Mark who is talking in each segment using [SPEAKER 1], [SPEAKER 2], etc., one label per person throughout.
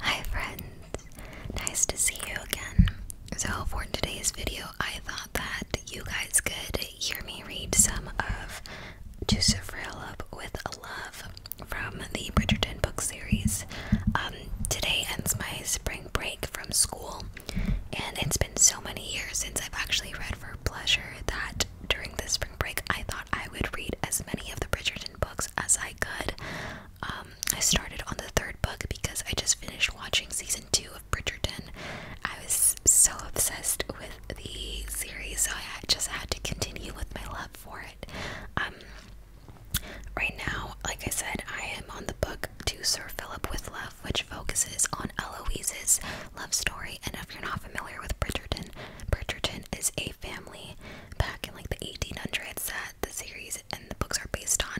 [SPEAKER 1] Hi friends, nice to see you again. So for today's video, I thought that you guys could hear me read some of Joseph Railub with Love from the Bridgerton book series. Um, today ends my spring break from school, and it's been so many years since I've actually read for pleasure that during the spring break I thought I would read as many of the Bridgerton books as I could. Um, I started on the third book because I just finished watching season two of Bridgerton. I was so obsessed with the series, so I just had to continue with my love for it. Um, right now, like I said, I am on the book to Sir Philip with Love, which focuses on Eloise's love story. And if you're not familiar with Bridgerton, Bridgerton is a family back in like the 1800s that that the series and the books are based on.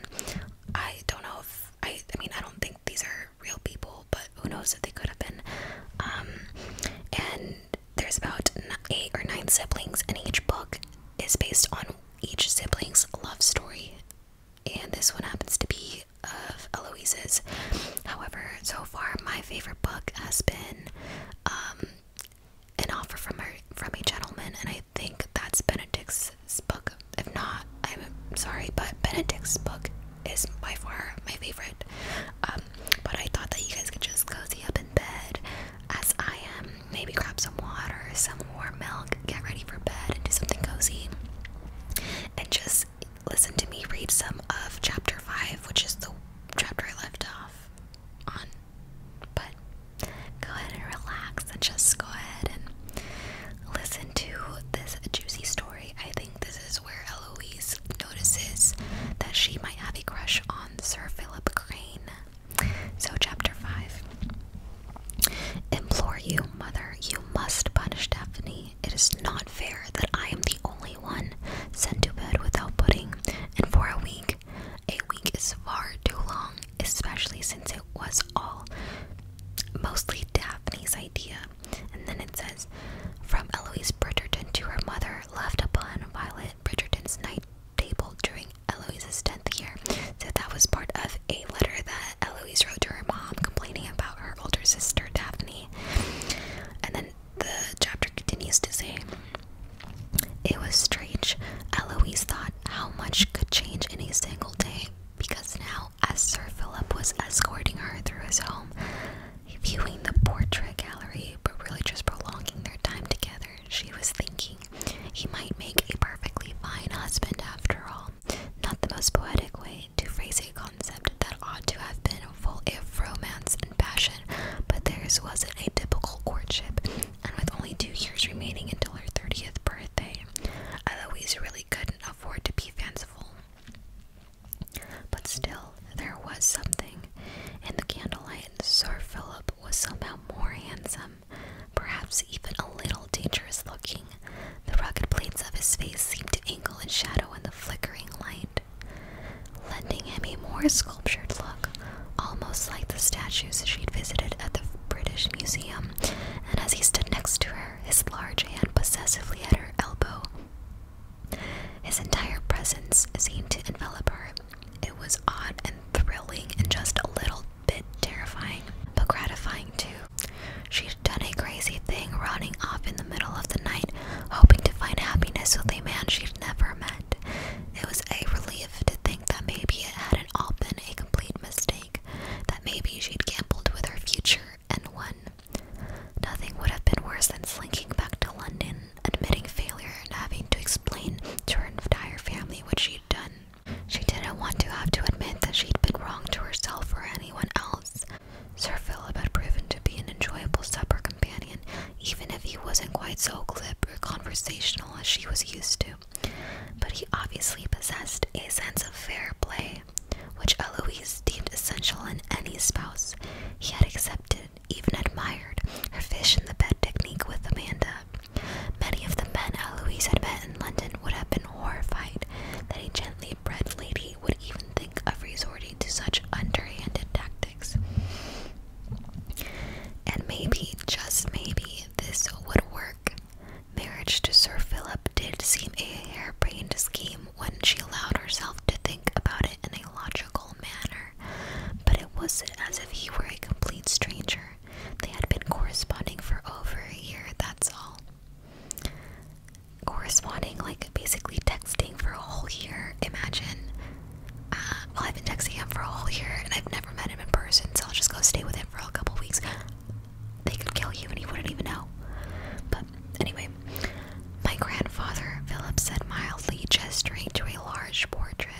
[SPEAKER 1] I don't know if I I mean I don't think these are real people, but who knows if they could have been. Um and there's about eight or nine siblings and each book is based on each sibling's love story. And this one happens to be of Eloise's. However, so far my favorite book has been um an offer from her from a gentleman, and I think that's Benedict's book. If not, I'm sorry, but Benedict's book is by far my favorite. Um, but I thought that you guys could just cozy up in bed as I am, maybe grab some water, some warm milk, get ready for bed, and do something cozy, and just listen to me read some of chapter five, which is the chapter I left off on, but go ahead and relax and just go ahead and listen to this juicy story. I think this is where Eloise notices that she might have a crush on Sir Philip Crane. So, chapter 5 Implore you, mother, you must punish Daphne. It is not fair that I am the only one sent to bed without pudding, and for a week a week is far too long, especially since it was all mostly Daphne's idea. And then it says, from Eloise Bridgerton to her mother, left upon Violet Bridgerton's night table during Eloise's 10th year. So that was part of a letter that Eloise wrote to her mom complaining about her older sister Daphne. And then the chapter continues to say, it was strange. Eloise thought how much could change in a single day because now, as Sir Philip was escorting her through his home, viewing the portrait gallery but really just prolonging their time together, she was thinking he might make a perfectly fine husband after all. Not the most poetic way to phrase a concept that ought to have been full of romance and passion, but theirs wasn't a typical courtship and with only two years remaining until her 30th birthday, Eloise really couldn't afford to be fanciful. But still, there was something in the candlelight. Sir Philip was somehow more handsome, perhaps even a little dangerous looking. The rugged planes of his face seemed to angle in shadow in the flickering light, lending him a more sculptured look, almost like the statues she'd visited at the British Museum, and as he stood next to her, his large hand possessively at her elbow, his entire presence seemed to envelop her. It was odd and thrilling, and just a little bit terrifying, but gratifying too. She'd done a crazy thing, running off in the middle of the night, hoping to find happiness with a man she'd never met. It was a relief to think that maybe it hadn't all been a complete mistake, that maybe she'd gambled with her future and won. Nothing would have been worse than slinking back to London, admitting failure, and having to explain to her entire family what she'd done. She didn't want to have to admit that she'd been wrong to herself or anyone else. Sir Philip had proven to be an enjoyable supper companion, even if he wasn't quite so glib or conversational as she was used to. But he obviously possessed a sense of fair play, which Eloise deemed essential in any spouse. He had accepted, even admired, her fish in the bed technique with Amanda. Many of the men Eloise had met in London would have been horrified that a gently bred lady would even think of resorting to such underhanded tactics. And maybe, just maybe, this would work. Marriage to Sir Philip did seem a harebrained scheme when she allowed herself to think about it in a logical manner, but it wasn't as if he were a complete stranger. They had been corresponding for over a year, that's all. Corresponding, like basically texting for a whole year, imagine. Uh, well, I've been texting him for a whole year and I've never met him in person, so I'll just go stay with him for a couple weeks. They could kill you and he wouldn't even know. But anyway, my grandfather, Philip, said mildly, gesturing to a large portrait.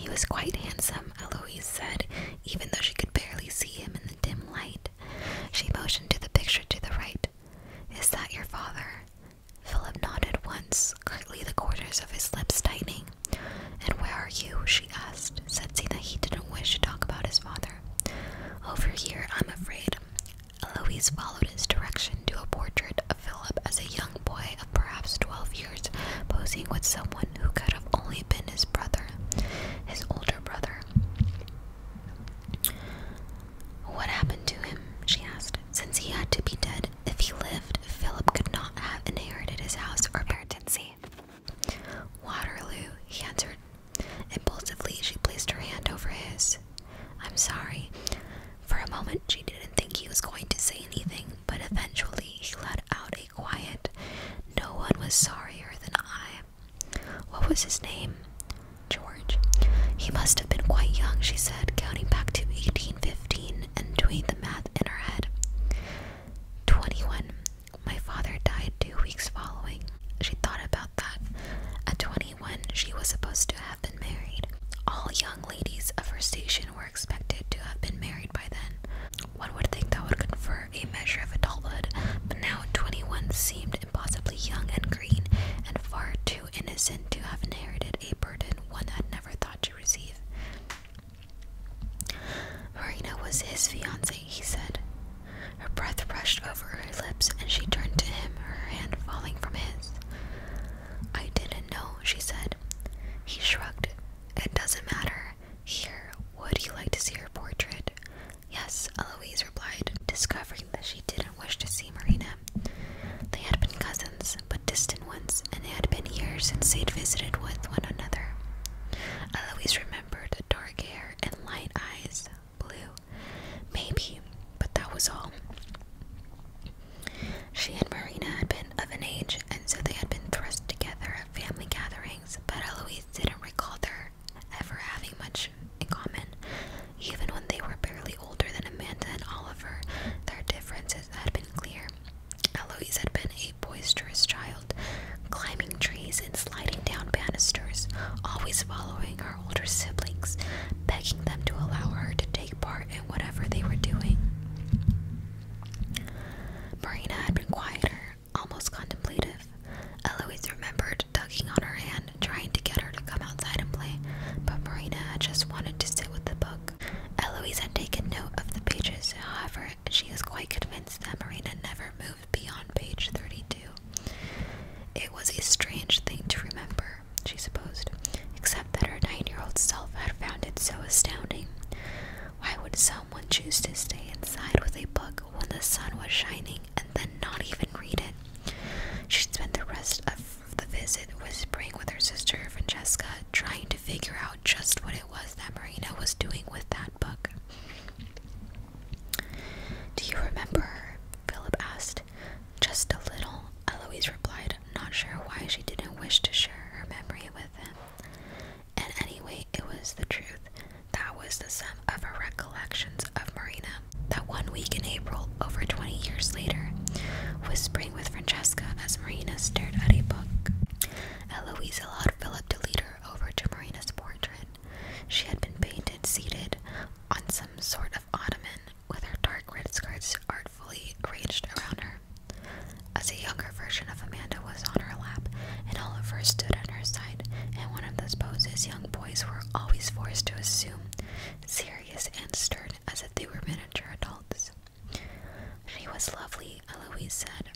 [SPEAKER 1] He was quite handsome, Eloise said, even though she could barely see him in the dim light. She motioned to the picture to the right. Is that your father? Philip nodded once, curtly the corners of his lips tightening. And where are you? she asked. sensing that he didn't wish to talk about his father. Over here, I'm afraid. Eloise followed his direction to a portrait of Philip as a young boy of perhaps twelve years, posing with someone who could have only been his brother, his older brother. What happened to him? she asked. Since he had to be dead, if he lived, Philip could not have inherited his house or parentancy. Waterloo, he answered. Impulsively, she placed her hand over his. I'm sorry. For a moment, she didn't think he was going to say anything, but eventually he let out a quiet, No one was sorrier than I. What was his name? George. He must have been quite young, she said, counting back to 1815 and doing the math in her head. 21. My father died two weeks following. She thought about that. At 21, she was supposed to have been married. All young ladies of her station were expected to have been married by then. One would think that would confer a measure of adulthood, but now 21 seemed impossibly young and green, and far too innocent to have inherited a burden one had never thought to receive. Marina was his fiancee, he said. Her breath rushed over her lips, and she turned to him, her hand falling from his. I didn't know, she said. He shrugged. It doesn't matter. Here, would you like to see her portrait? Yes, Eloise replied, discovering that she didn't wish to see Marina. They had been cousins, but distant once, and it had been years since they'd visited with one another. Eloise remembered dark hair and light eyes, blue, maybe, but that was all. She and Marina had been of an age, and so they had been thrust together at family gatherings, but Eloise didn't recall their ever having much in common. Even when they were barely older than Amanda and Oliver, their differences had been clear. Eloise had been a boisterous child, climbing trees and sliding down banisters, always following her older siblings, begging them to allow her to take part in whatever they were doing. Marina had been quieter, almost contemplative. Eloise remembered tugging on her hand, trying to get her to come outside and play, but Marina just wanted to sit with the book. Eloise had taken note of the pages, however, she was quite convinced that Marina never moved beyond page 32. It was a strange thing to remember, she supposed, except that her nine year old self had found it so astounding. Why would someone choose to stay inside with a book when the sun was shining and then not even read it? She spent the rest of the visit whispering with her sister Francesca, trying to figure out just what it was that Marina was doing with that book. Do you remember? Philip asked. Just a little, Eloise replied, not sure why she didn't wish to share her memory with him. And anyway, it was the truth. That was the sum of her recollections of Marina. That one week in April, over 20 years later, whispering with Francesca as Marina stared at a book. Eloise allowed Philip to lead her over to Marina's portrait. She had been painted seated on some sort of ottoman, with her dark red skirts artfully arranged around her. As a younger version of Amanda was on her lap, and Oliver stood at her side, in one of those poses young boys were always forced to assume, serious and stern as if they were miniature adults. She was lovely, Eloise said,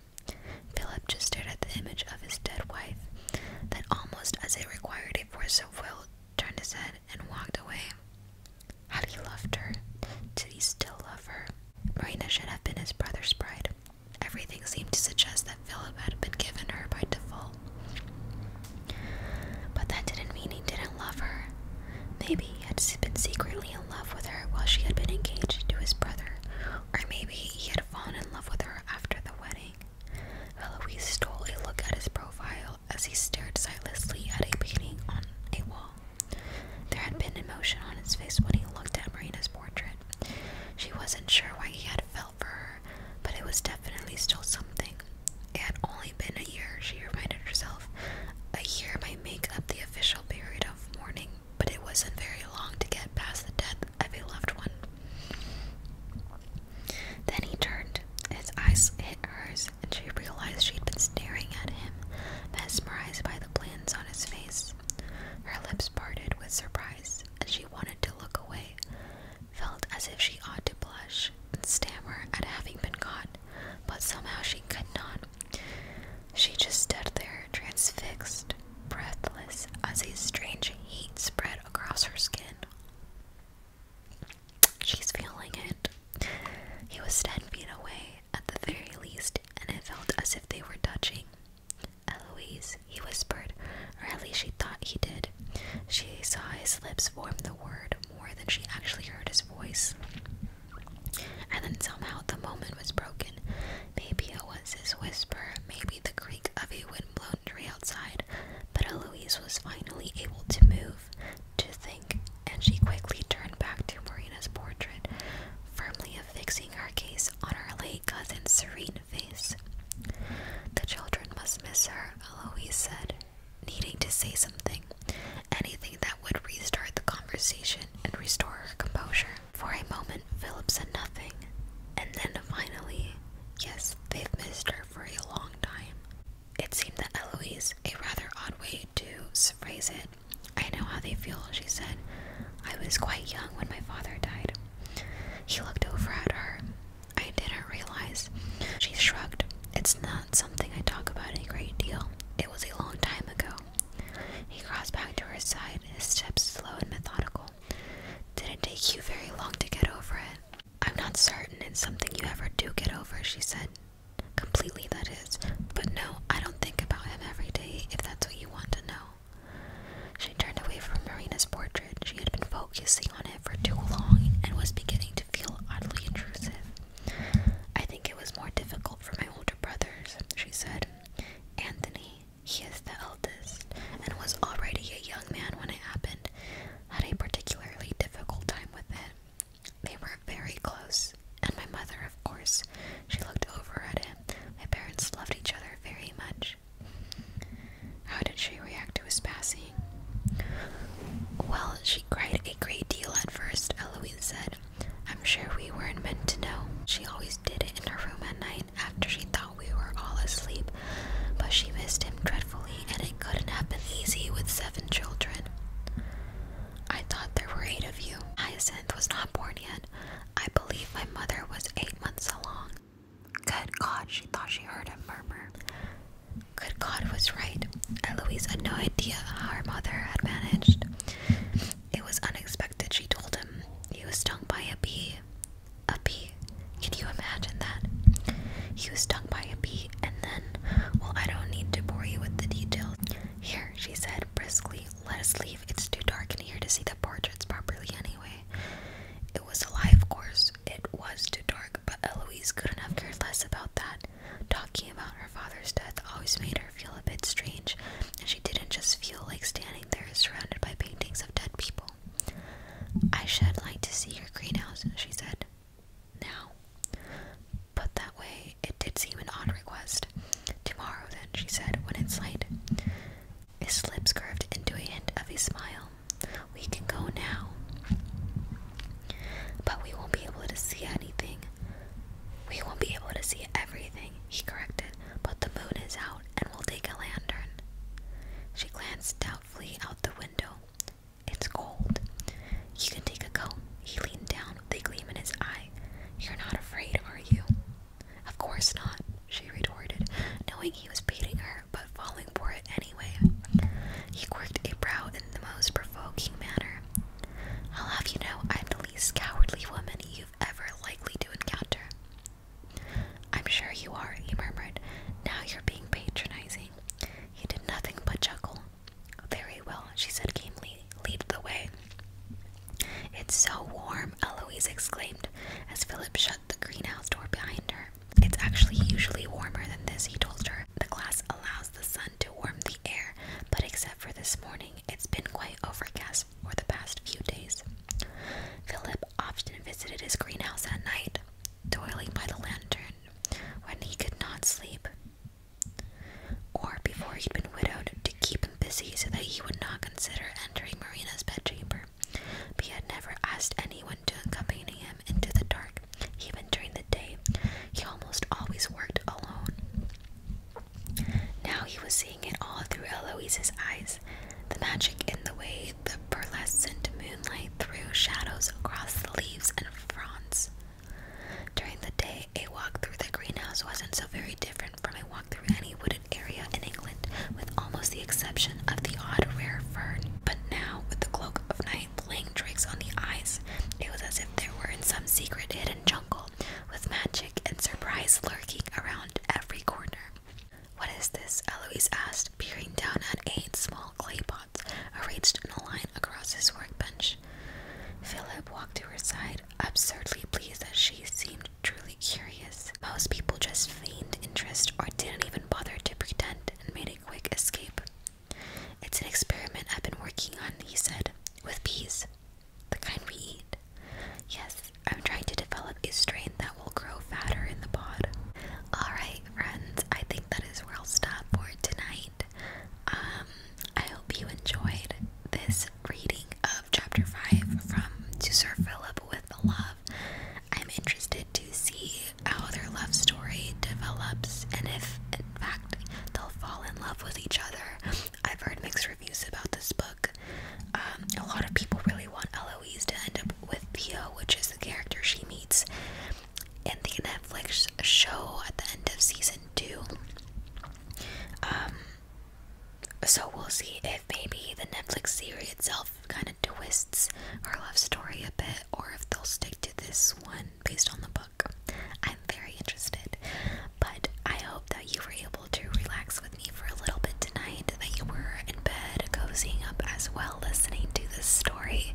[SPEAKER 1] Philip just stared at the image of his dead wife, then, almost as it required a force of will, turned his head and walked away. Had he loved her? Did he still love her? Marina should have been his brother's bride. Everything seemed to suggest that Philip had been given her by default. But that didn't mean he didn't love her. Maybe he had been secretly love with her while she had been engaged to his brother, or maybe he had fallen in love with her after the wedding. Eloise stole a look at his profile as he stared sightlessly at a painting on a wall. There had been emotion on his face when he looked at Marina's portrait. She wasn't sure why he had felt for her, but it was definitely still something. It had only been a year, she reminded herself. A year might make up the official period of mourning but it wasn't very long to get past the death of a loved one. Then he turned. His eyes hit hers, and she realized she'd been staring at him, mesmerized by the plans on his face. Her lips parted with surprise, and she wanted to look away, felt as if she ought to blush and stammer at having been caught, but somehow she could not. She just stood there, transfixed, breathless, as a strange heat spread across her skin. She's feeling it. He was ten feet away, at the very least, and it felt as if they were touching. Eloise, he whispered, or at least she thought he did. She saw his lips form the word more than she actually heard his voice. And then somehow the moment was broken. Maybe it was his whisper, maybe the creak of a wind-blown tree outside, but Eloise was finally able to move, to think, and she quickly turned back to Marina's portrait, firmly affixing her gaze on her late cousin's serene face. The children must miss her, Eloise said, needing to say something, anything that would restart the conversation and restore her composure. For a moment, Philip said nothing, and then finally, yes, they've missed her for a long time. It seemed that Eloise, a rather odd way to phrase it, I know how they feel, she said. I was quite young when my father died. He looked over at her. I didn't realize. She shrugged. It's not something I talk about a great deal. It was a long time ago. He crossed back to her side, his steps slow and methodical. Did not take you very long to get over it? I'm not certain it's something you ever do get over, she said. Completely, that is. But no, I don't think about him every day, if that's what you want to know. She turned away from Marina's portrait. She had been focusing on it for too long and was beginning to feel oddly intrusive. I think it was more difficult for my older brothers, she said. Anthony, he is the eldest and was already a young man when it happened, had a particularly difficult time with it. They were very close, and my mother, of course, she looked over at him. My parents loved each other very much. How did she react to his passing? Well, she cried a great deal at first, Eloise said. I'm sure we weren't meant to know. She always did it in her room at night after she thought we were all asleep, but she missed him dreadfully, and it couldn't have been easy with seven children. I thought there were eight of you. Hyacinth was not born yet. I believe my mother was eight months along. Good God, she thought she heard him murmur. Good God was right. Eloise had no idea how her mother had managed. It was unexpected, she told him. He was stung by a bee. A bee? Can you imagine that? He was stung by a bee, and then, well, I don't need to bore you with the details. Here, she said briskly, let us leave. It's too dark in here to see the portraits properly anyway. It was a lie, of course. It was too dark, but Eloise couldn't have cared less about that. Talking about her father's death always made her feel a bit strange, and she didn't just feel like standing there surrounded by paintings of dead people. I should like to see your greenhouse, she said. Now. Put that way, it did seem an odd request. Tomorrow, then, she said, when it's light. His lips curved into a hint of a smile. We can go now. But we won't be able to see anything. We won't be able to see everything, he corrected but the moon is out and we'll take a lantern. She glanced doubtfully out the window. It's cold. You can take a coat. He leaned down with a gleam in his eye. You're not afraid, are you? Of course not, she retorted, knowing he was baiting her but falling for it anyway. He quirked a brow in the most provoking manner. I'll have you know I'm the least cowardly woman you ever likely to encounter. I'm sure you are, he murmured. Now you're being patronizing. He did nothing but chuckle. Very well, she said gamely. Lead the way. It's so warm, Eloise exclaimed as Philip shut the greenhouse door behind her. It's actually usually warmer than this, he told her. The glass allows the sun to warm the air, but except for this morning, it's been quite overcast years the past few days. Philip often visited his greenhouse at night, toiling by the lantern when he could not sleep, or before he'd been widowed, to keep him busy so that he would not consider entering Marina's bedchamber. he had never asked anyone to accompany him into the dark, even during the day. He almost always worked alone. Now he was seeing it all through Eloise's eyes, the magic in the way the pearlescent moonlight threw shadows across the leaves and fronds. During the day, a walk through the greenhouse wasn't so very different from a walk through any wooded area in England, with almost the exception of the odd rare fern. But now, with the cloak of night playing tricks on the eyes, it was as if there were in some secret hidden jungle with magic and surprise lurking around every corner. What is this? Eloise asked, peering down at eight small clay pots arranged in a line across his workbench. Philip walked to her side, absurdly pleased that she seemed truly curious. Most people just feigned interest or didn't even bother to pretend and made a quick escape. It's an experiment I've been working on, he said, with bees the kind we eat. Yes, I'm trying to develop a strain that will grow fatter in the pod. Alright, friends, I think that is where I'll stop for tonight. Um, I hope you enjoyed this reading of chapter 5 from To Sir Philip with Love. I'm interested to see how their love story develops and if, in fact, they'll fall in love with each other I've heard mixed reviews about this book. Um, a lot of people really want Eloise to end up with Theo, which is the character she meets in the Netflix show at the end of season two. Um, so we'll see if maybe the Netflix series itself kind of twists her love story a bit, or if they'll stick to this one based on the book. I'm very interested, but I hope that you were able to relax with me for a little bit tonight, that you were in bed cozying up as well listening to this story.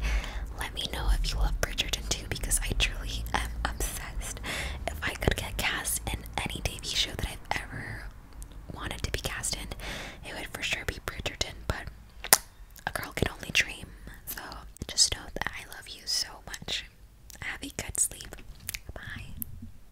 [SPEAKER 1] Let me know if you love Bridgerton too because I truly am obsessed. If I could get cast in any TV show that I've ever wanted to be cast in, it would for sure be Bridgerton, but a girl can only dream. So just know that I love you so much. Have a good sleep. Bye.